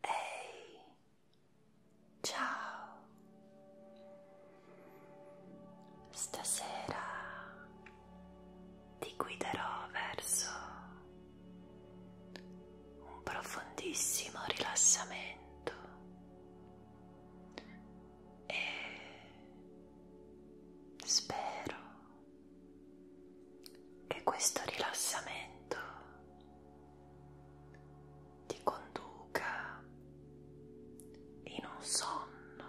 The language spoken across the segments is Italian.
Ehi, ciao. Stasera ti guiderò verso un profondissimo rilassamento e spero che questo rilassamento ti conduca in un sonno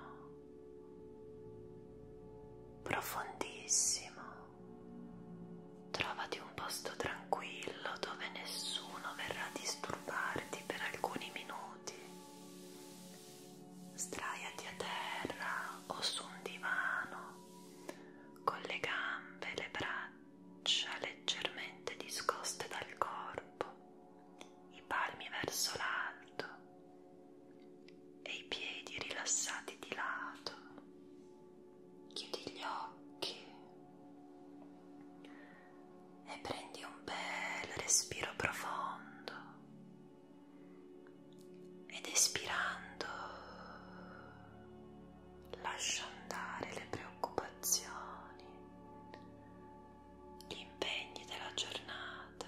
profondissimo. Trovati un posto tranquillo dove nessuno verrà a disturbarti per alcuni minuti Sdraiati a terra o su un divano con le gambe e le braccia leggermente discoste dal corpo, i palmi verso l'alto e i piedi rilassati di lato. Chiudi gli occhi e prendi un bel respiro profondo ed espirando lascia andare le preoccupazioni, gli impegni della giornata.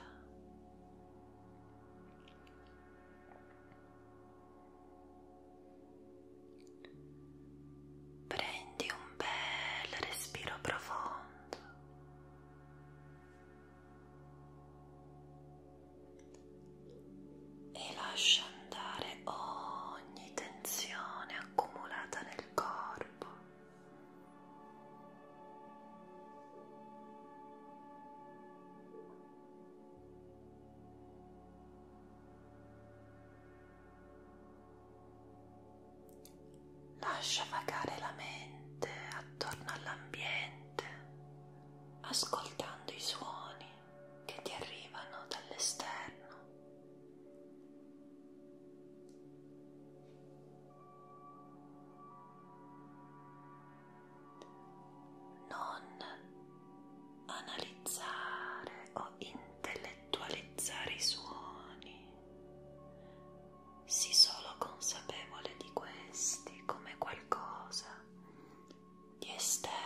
Prendi un bel respiro profondo e lascia andare ogni tensione accumulata nel corpo. Lascia vagare la mente attorno all'ambiente mente ascoltando i suoni che ti arrivano dall'esterno. Non analizzare o intellettualizzare i suoni, Sii solo consapevole di questi come qualcosa di esterno.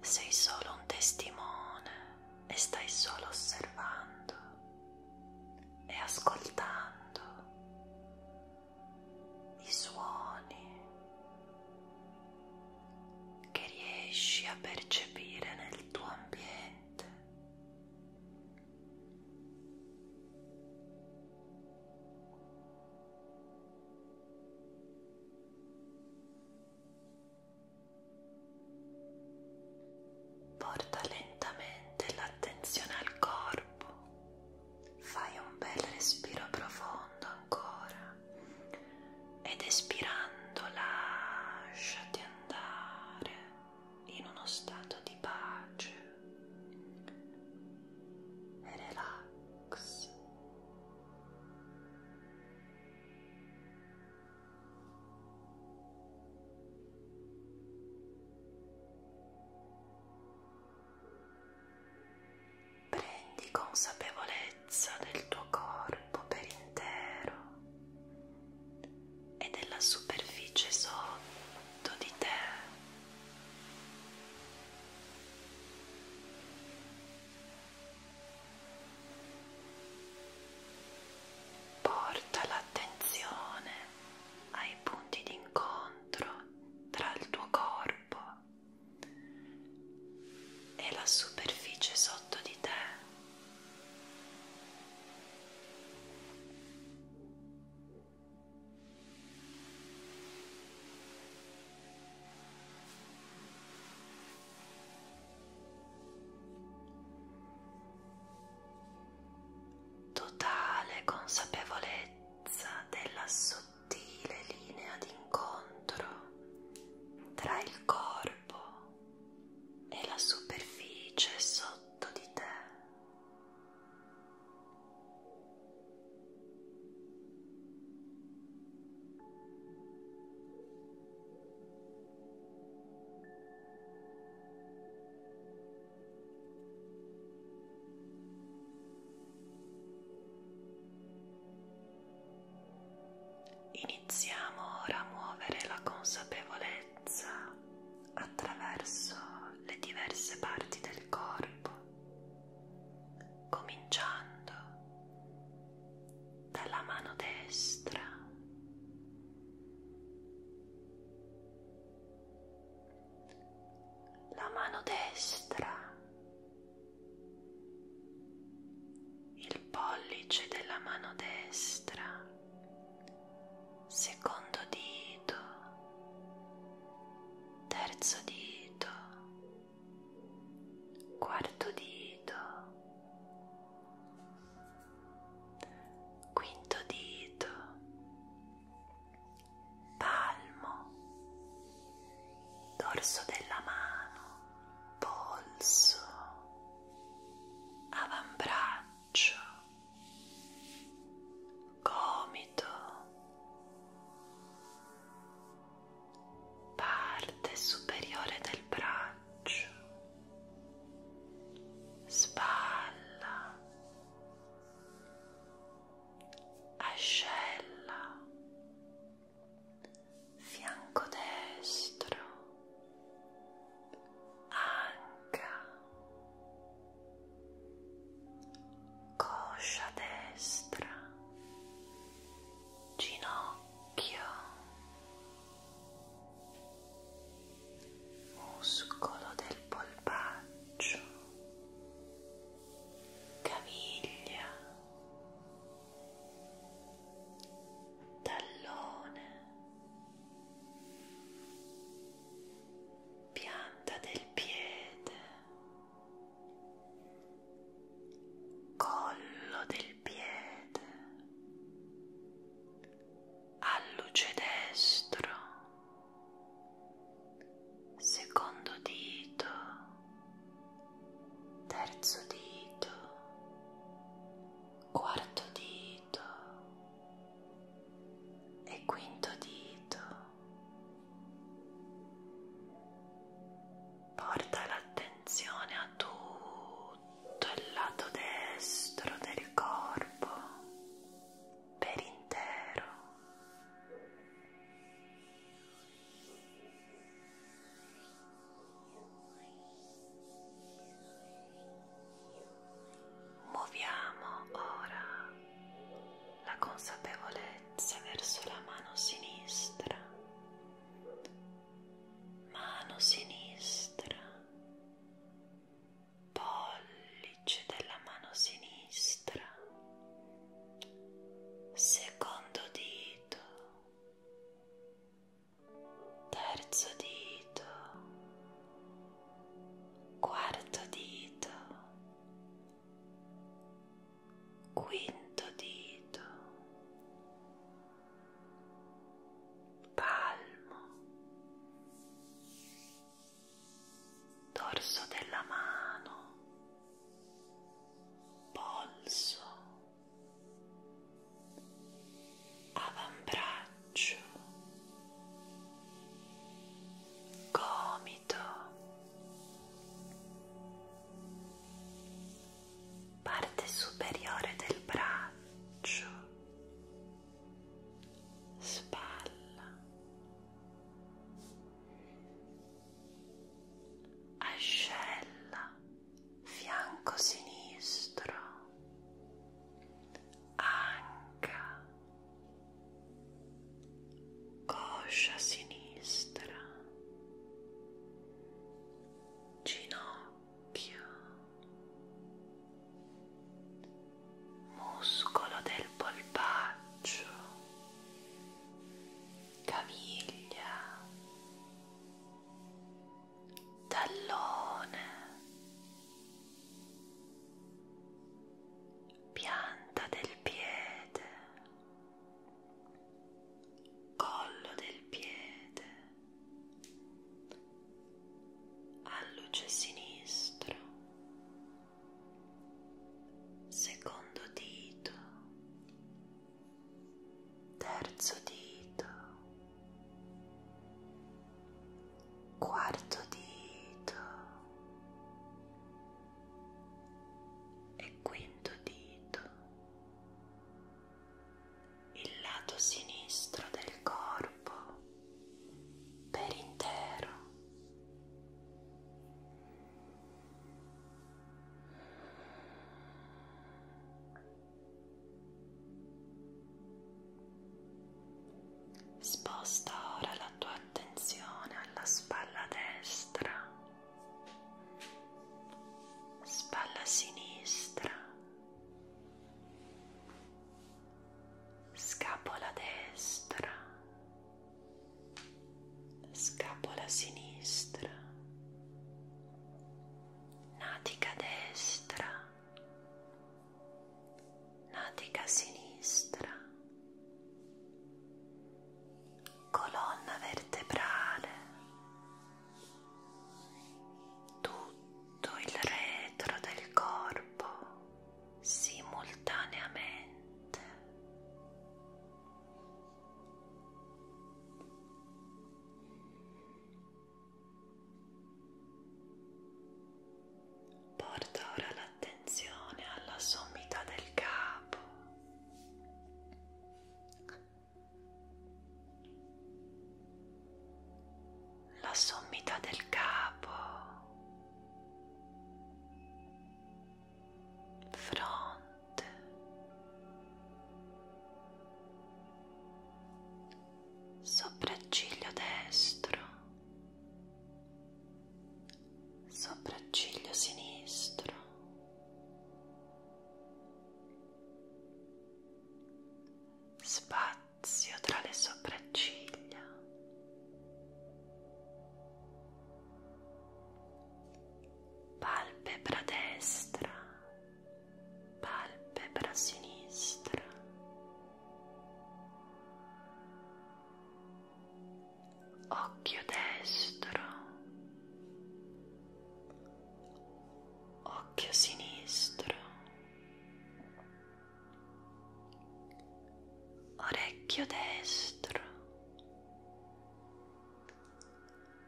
Sei solo un testimone e stai solo osservando e ascoltando i suoni che riesci a percepire nel tuo ambiente. Porta lentamente l'attenzione al corpo fai un bel respiro profondo ancora ed espirando lasciati andare in uno stato di pace e relax Prendi consapevolezza del tuo corpo per intero e della superficie sotto di te. Porta l'attenzione ai punti d'incontro tra il tuo corpo corpo e la superficie sotto di te totale consapevolezza della sua sottile linea d'incontro tra il corpo e la superficie sotto di te. Iniziamo ora a muovere la consapevolezza attraverso le diverse parti del corpo, cominciando dalla mano destra la mano destra, il pollice della mano destra, secondo dito, terzo dito, quarto dito, quinto dito, palmo, dorso della mano, polso, avambraccio, gomito, parte superiore del braccio, spalla ascella, fianco destro, anca, coscia destra, ginocchio, muscolo del polpaccio caviglia, tallone, pianta del piede, collo del piede, alluce destro secondo dito, terzo dito, quarto dito e quinto dito. Porta l'attenzione a tutto il lato destro del corpo per intero. Muoviamo ora la consapevolezza verso la mano sinistra, mano sinistra, pollice della mano sinistra, secondo dito, terzo dito, quarto dito, quinto dito, palmo dorso della mano, polso, avambraccio, gomito, parte superiore del braccio, spalla ascella, fianco sinistro, anca, coscia sinistra, ginocchio muscolo del polpaccio, caviglia, tallone, pianta del piede, collo del piede, alluce sinistro secondo dito, terzo dito, quarto dito e quinto dito, il lato sinistro del corpo per intero sposta ora la tua attenzione alla spalla destra spalla sinistra scapola destra scapola sinistra, natica destra, natica sinistra, colonna vertebrale, tutto il retro del corpo simultaneamente porta ora l'attenzione alla sommità del capo la sommità del capo fronte, sopracciglio destro, sopracciglio sinistro, spazio tra le sopracciglia palpebra destra, palpebra sinistra, occhio destro, occhio sinistro orecchio destro,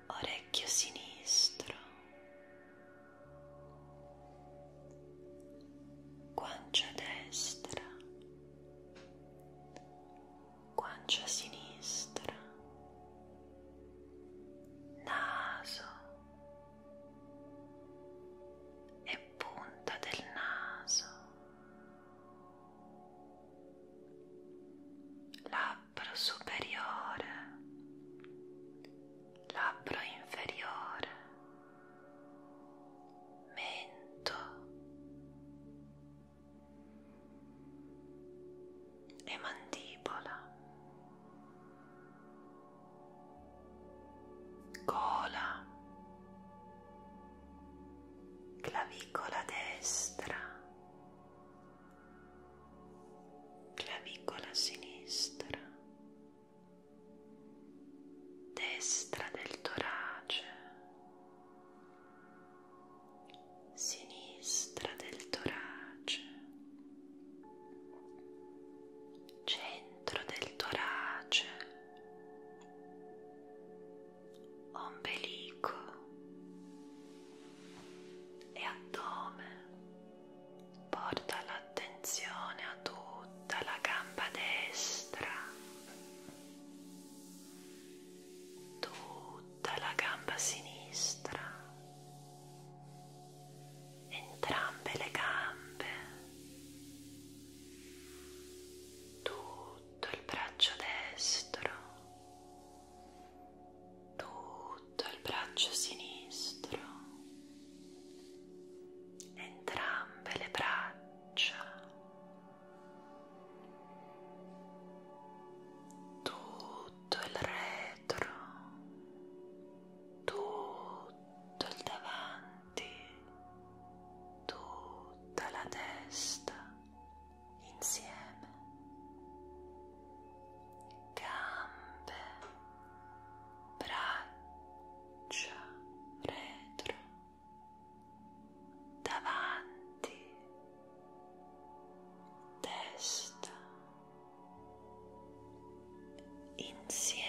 orecchio sinistro, guancia destra, guancia sinistra, naso e punta del naso labbro superiore, labbro inferiore, mento e mandibola cola, clavicola destra, clavicola sinistra, destra del torace, sinistra del torace, centro del torace ombelico e addome porta l'attenzione a tutta la gamba destra tutta la gamba sinistra entrambe le gambe tutto il braccio destro, tutto il braccio sinistro, entrambe le braccia, tutto il retro, tutto il davanti avanti tutta la testa insieme gambe braccia retro davanti testa insieme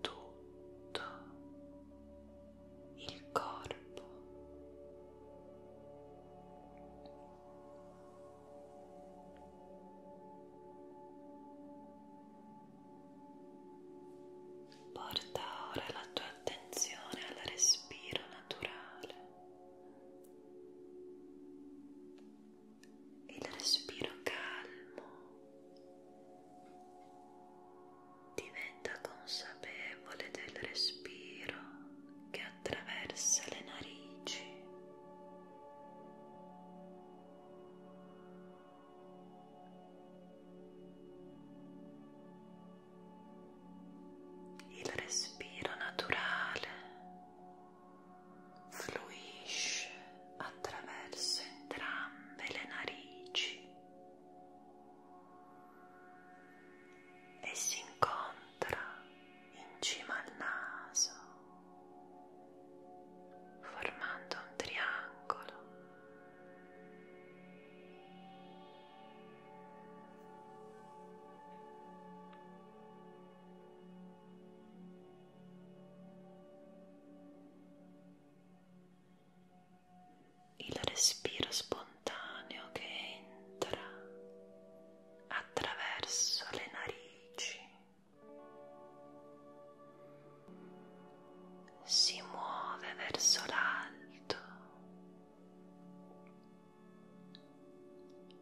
tutto il corpo porta ora la tua attenzione al respiro naturale il respiro calmo diventa consapevole del respiro che attraversa le narici il respiro naturale fluisce attraverso entrambe le narici e si incontra in cima al naso formando un triangolo il respiro spontaneo che entra attraverso le narici si muove verso l'alto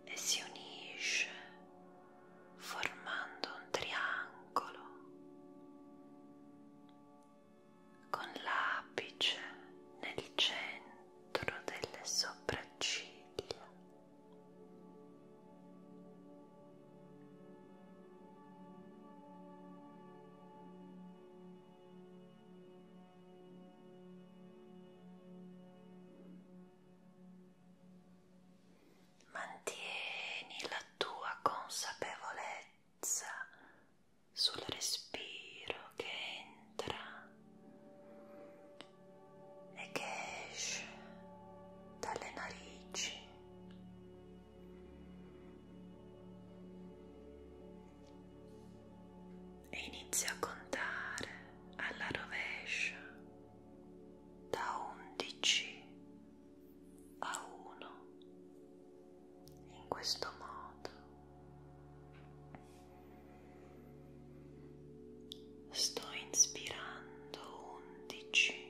e si unisce formando un triangolo con l'apice nel centro delle sopracciglia. Mantieni la tua consapevolezza sul respiro che entra e che esce dalle narici. E inizia a contare alla rovescia da 11 a uno in questo modo sto inspirando undici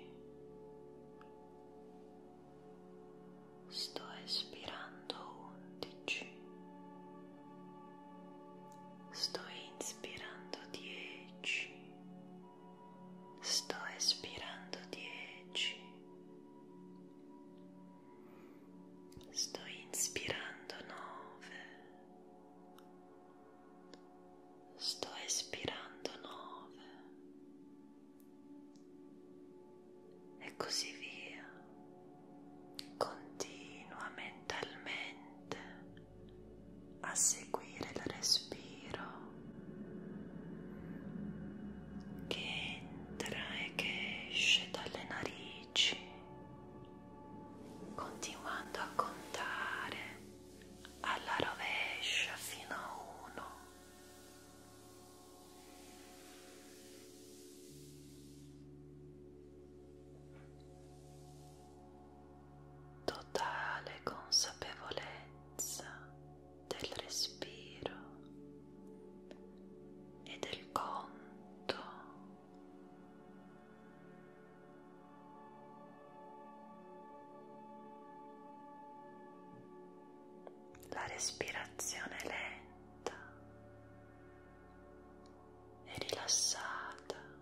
sto espirando undici sto inspirando dieci sto espirando dieci, sto inspirando nove, sto espirando nove e così via. Continua mentalmente a seguire il respiro che entra e che esce dalle narici, continuando a contare alla rovescia fino a uno totale consapevolezza del respiro e del conto. La respirazione lenta e rilassata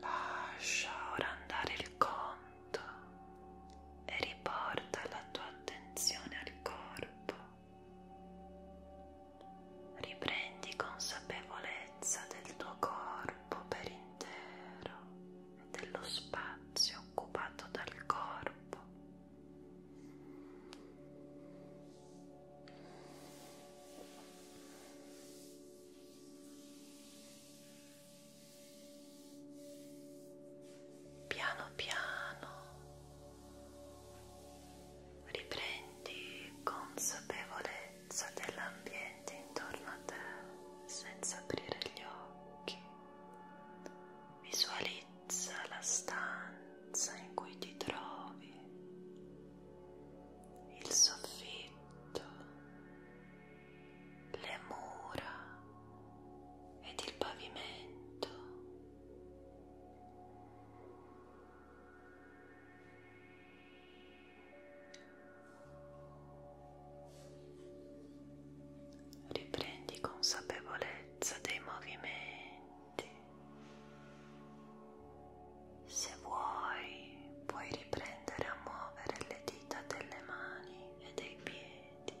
Lascia ora andare il conto e riporta la tua attenzione al corpo. Riprendi consapevolezza del tuo corpo per intero e dello spazio occupato dal corpo. Piano piano Riprendi consapevolezza dell'ambiente intorno a te senza aprire gli occhi. Visualizza la stanza in cui ti trovi, il soffitto, le mura ed il pavimento riprendi consapevolezza dei movimenti se vuoi puoi riprendere a muovere le dita delle mani e dei piedi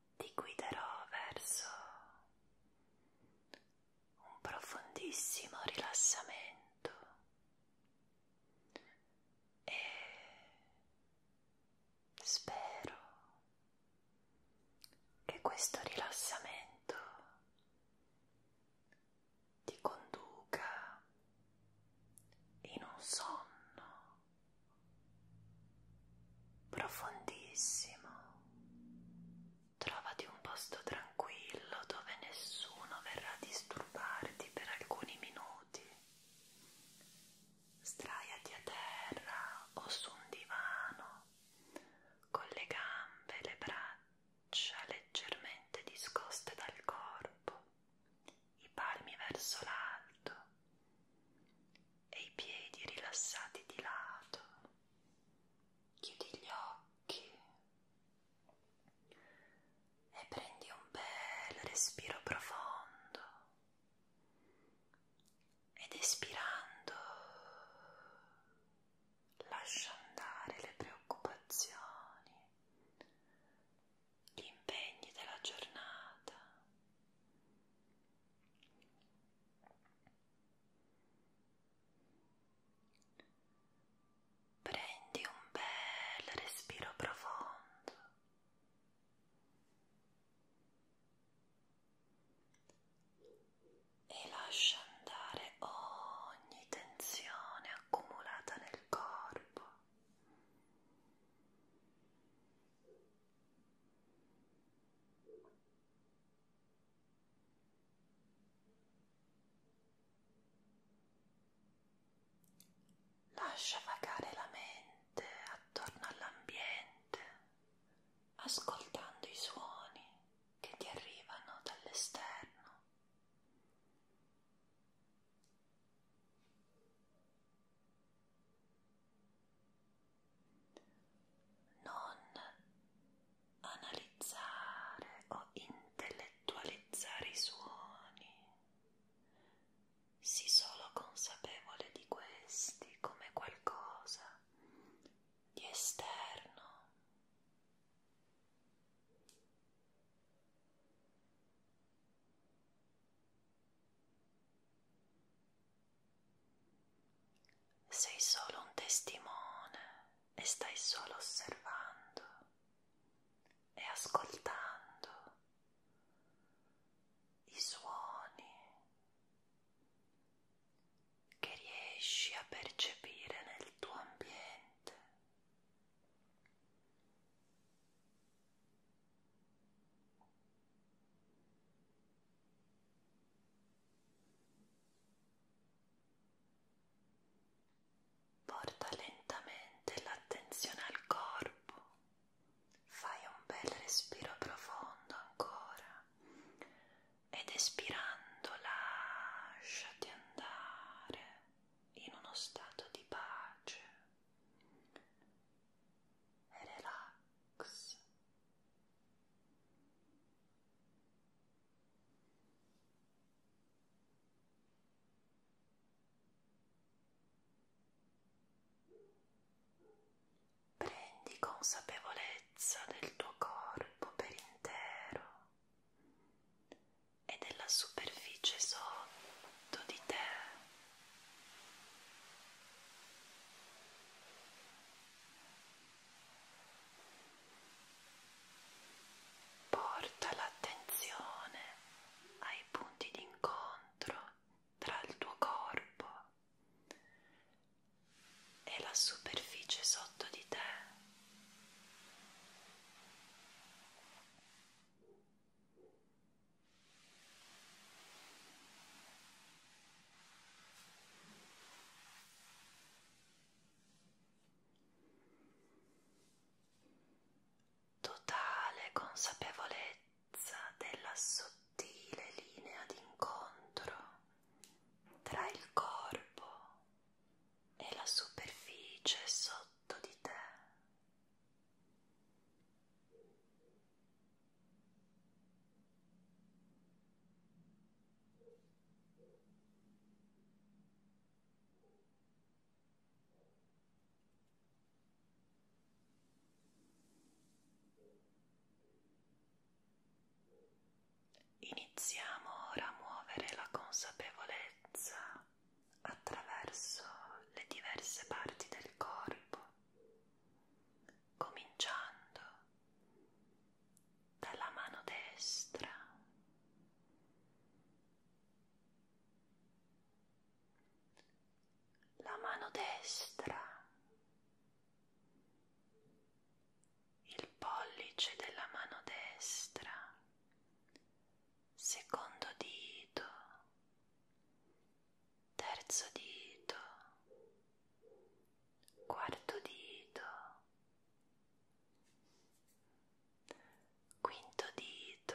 ti guiderò verso un profondissimo rilassamento e spero che questo rilassamento ti conduca in un sonno profondissimo. Trovati un posto tranquillo dove nessuno verrà a disturbarti per alcuni minuti. Straiati a terra o su un divano con le gambe e le braccia leggermente discoste dal corpo, i palmi verso l'alto e i piedi rilassati di lato, chiudi gli occhi e prendi un bel respiro profondo ed espirando lascia andare le preoccupazioni, gli impegni della giornata Prendi un bel respiro profondo. E lascia andare ogni tensione accumulata nel corpo. Lascia vagare la mente attorno all'ambiente, ascoltando i suoni che ti arrivano dall'esterno non analizzare o intellettualizzare i suoni, sii solo consapevole di questi come qualcosa di esterno. Sei solo un testimone e stai solo osservando e ascoltando i suoni che riesci a percepire nel tuo ambiente. Porta lentamente l'attenzione al corpo, fai un bel respiro profondo ancora ed espirando lasciati andare in uno stato di pace e relax. Prendi consapevolezza del tuo corpo per intero e della superficie sotto di te Porta l'attenzione ai punti d'incontro tra il tuo corpo e la superficie sotto di te. Totale consapevolezza della sottile linea d'incontro tra il corpo e la superficie sotto di te. Iniziamo ora a muovere la consapevolezza attraverso le diverse parti del corpo cominciando dalla mano destra. La mano destra, il pollice della mano destra, secondo dito, terzo dito, quarto dito, quinto dito,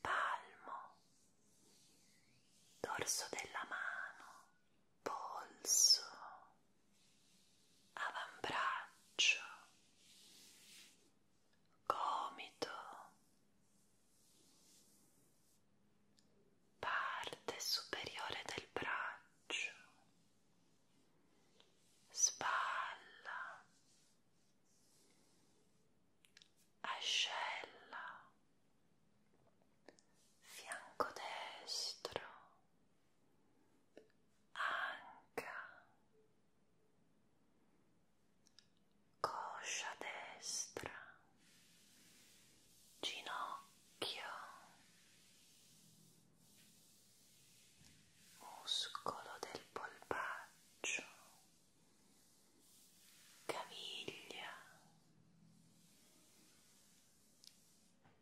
palmo, dorso della mano, polso, avambraccio, gomito parte superiore del braccio, spalla, ascella, fianco destro, anca coscia destra, ginocchio, muscolo del polpaccio, caviglia,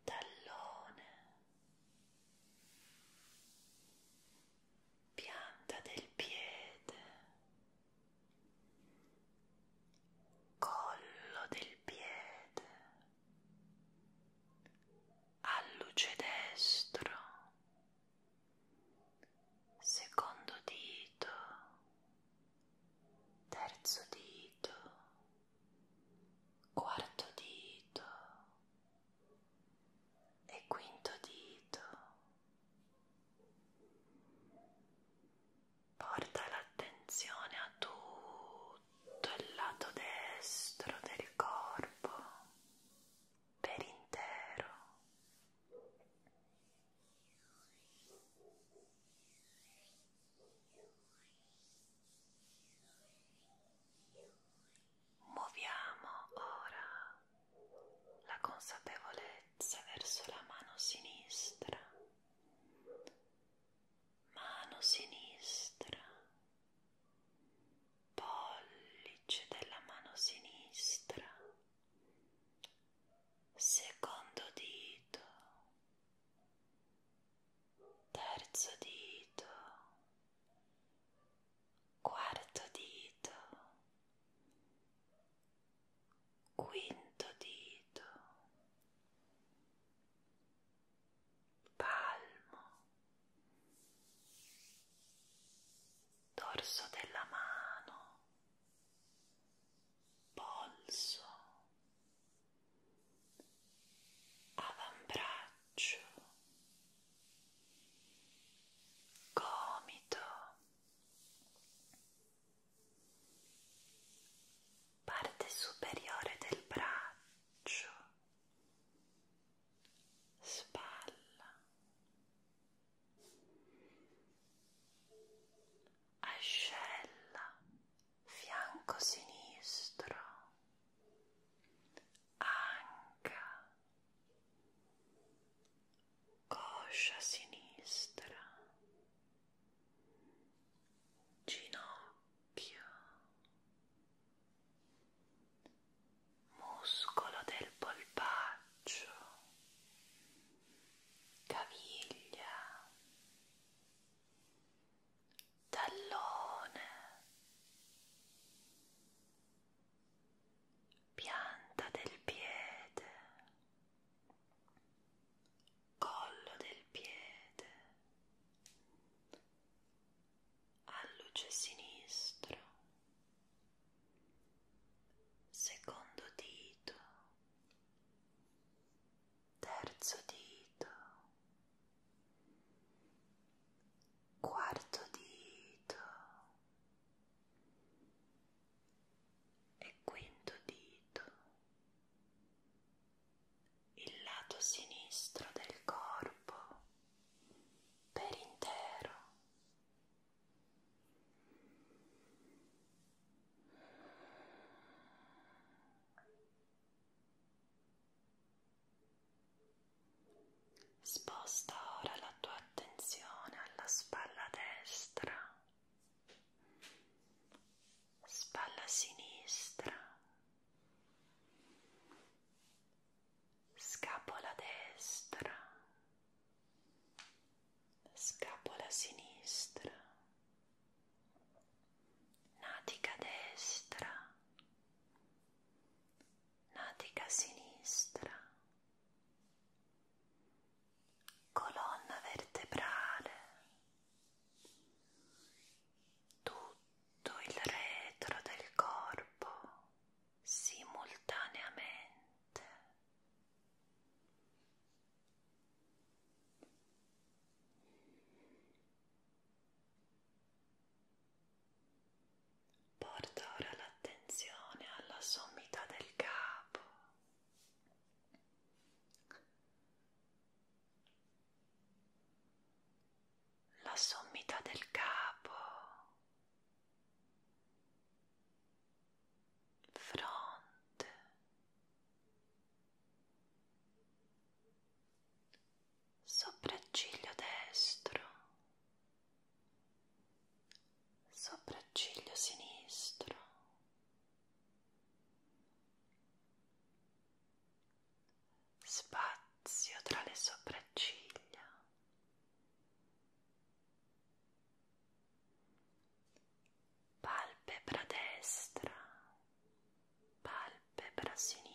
tallone, pianta del piede collo del piede alluce destro secondo dito terzo dito quarto dito e quinto dito Porta l'attenzione a tutto il lato destro del corpo per intero. Muoviamo ora la consapevolezza verso la mano sinistra, mano sinistra, pollice della mano sinistra, secondo dito, terzo dito, quarto dito quinto dito, palmo, dorso della mano, polso, avambraccio, gomito parte superiore del braccio, spalla, ascella, fianco sinistro, anca coscia sinistra, ginocchio, muscolo del polpaccio, caviglia, tallone pianta del piede, collo del piede, alluce sinistro, secondo dito, terzo dito, quarto dito, e quinto dito, il lato sinistro del corpo per intero. Sposta ora la la tua attenzione alla spalla destra, spalla sinistra, scapola destra, scapola sinistra, natica destra, natica sinistra colonna vertebrale, tutto il retro del corpo simultaneamente. Porta ora l'attenzione alla sommità del capo. La sommità del capo, fronte, sopracciglio destro sopracciglio sinistro, spazio tra le sopracciglia, palpebra destra, palpebra sinistra.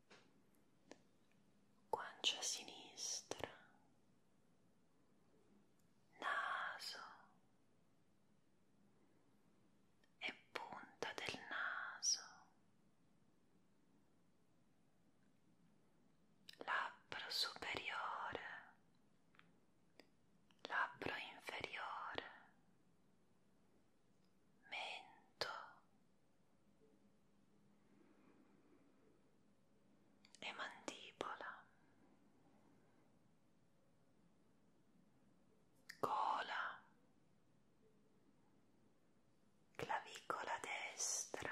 guancia sinistra, naso e punta del naso, labbro superiore, labbro inferiore, mento e mandibola, gola, clavicola destra,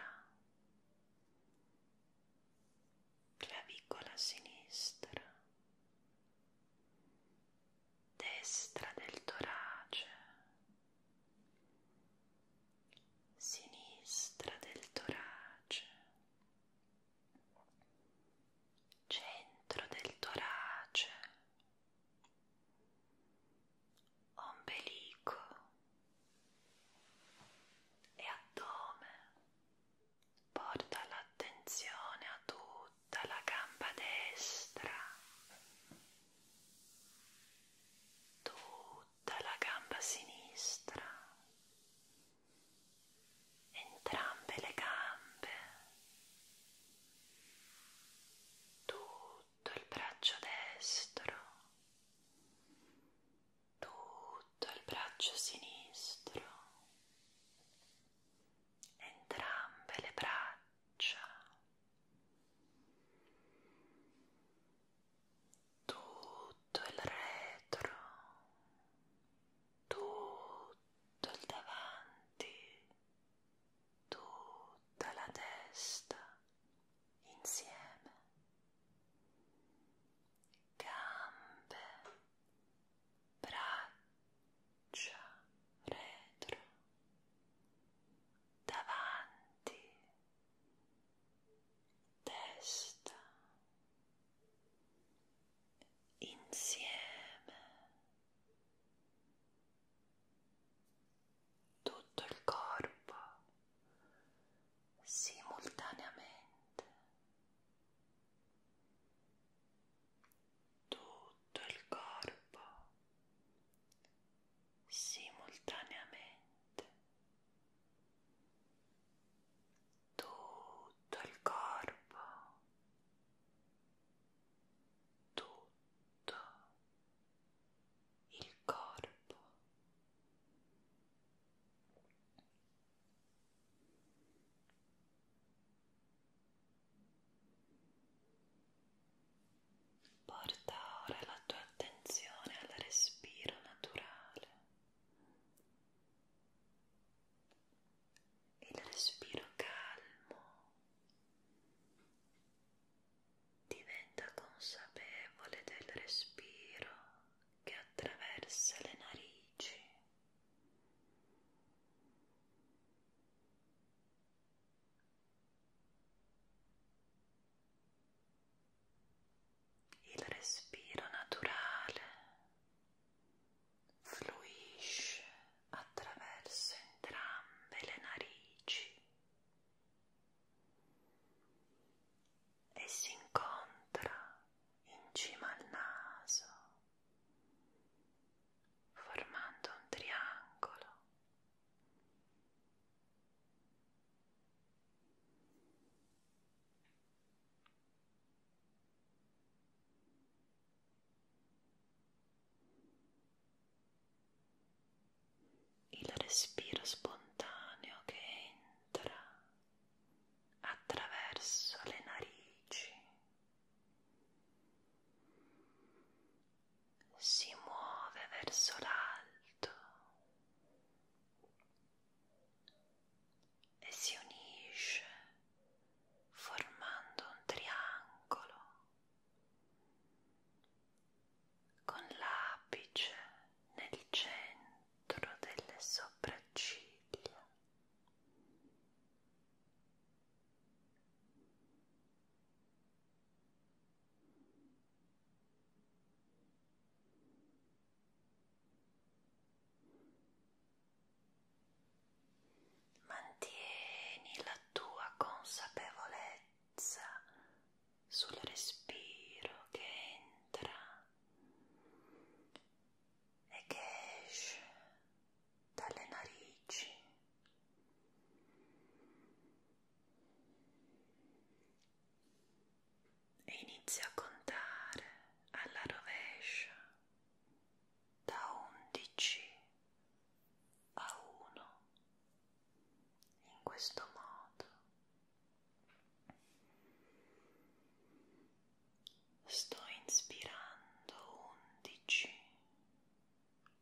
clavicola sinistra destra del torace, sinistra del torace, centro del torace, ombelico e addome. Porta l'attenzione a tutto tutta la gamba destra tutta la gamba sinistra entrambe le gambe tutto il braccio destro tutto il braccio sinistro entrambe le braccia tutto il retro, tutto il davanti, tutta la testa insieme, gambe, braccia faccia retro davanti testa insieme tutto il corpo simultaneamente tutto il corpo simultaneamente tutto il corpo, tutto il corpo. Porta ora la tua attenzione al respiro naturale. Il respiro calmo diventa consapevole del respiro che attraversa le narici il respiro naturale fluisce attraverso entrambe le narici e si incontra in cima al naso formando un triangolo il respiro spontaneo che entra attraverso le narici si muove verso l'alto e si unisce formando un triangolo con l'apice nel centro delle sopracciglia Mantieni la tua consapevolezza sul respiro che entra e che esce dalle narici e inizia a contare alla rovescia da 11 a 1 in questo modo sto inspirando 11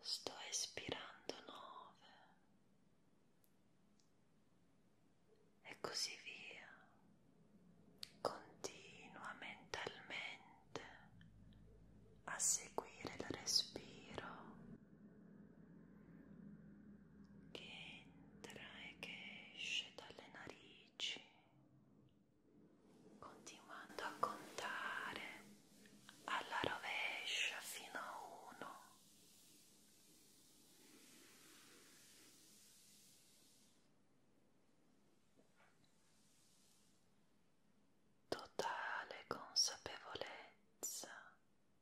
sto espirando nove e così via continua mentalmente a seguire il respiro che entra e che esce dalle narici continuando a contare alla rovescia fino a uno totale consapevolezza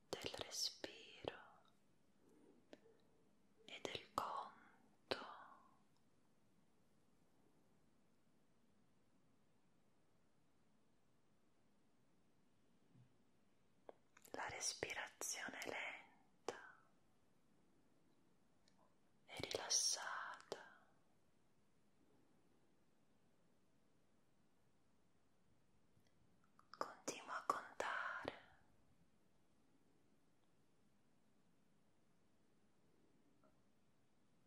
del respiro e del conto la respirazione lenta e rilassata. Continua a contare.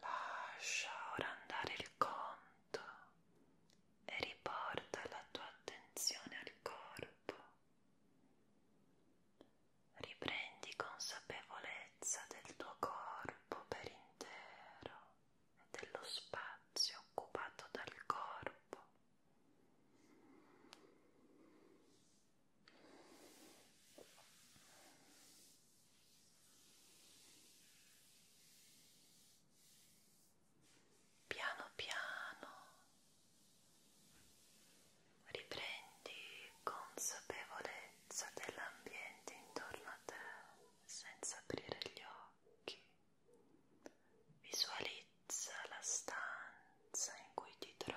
Lascia ora andare il conto e riporta la tua attenzione al corpo. Riprendi consapevolezza del tuo corpo per intero e dello spazio occupato dal corpo. Piano piano riprendi consapevolezza dell'ambiente intorno a te senza aprire gli occhi. Visualizza la stanza in cui ti trovi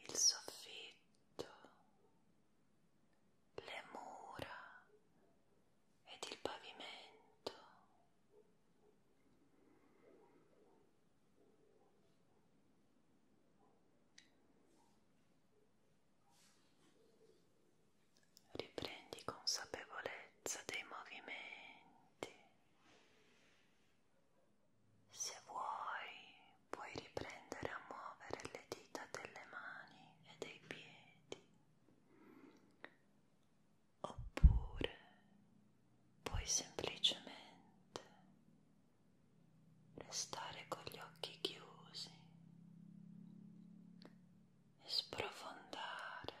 il soffitto, le mura ed il pavimento. Riprendi consapevolezza dei movimenti se vuoi puoi riprendere a muovere le dita delle mani e dei piedi, oppure puoi semplicemente restare con gli occhi chiusi e sprofondare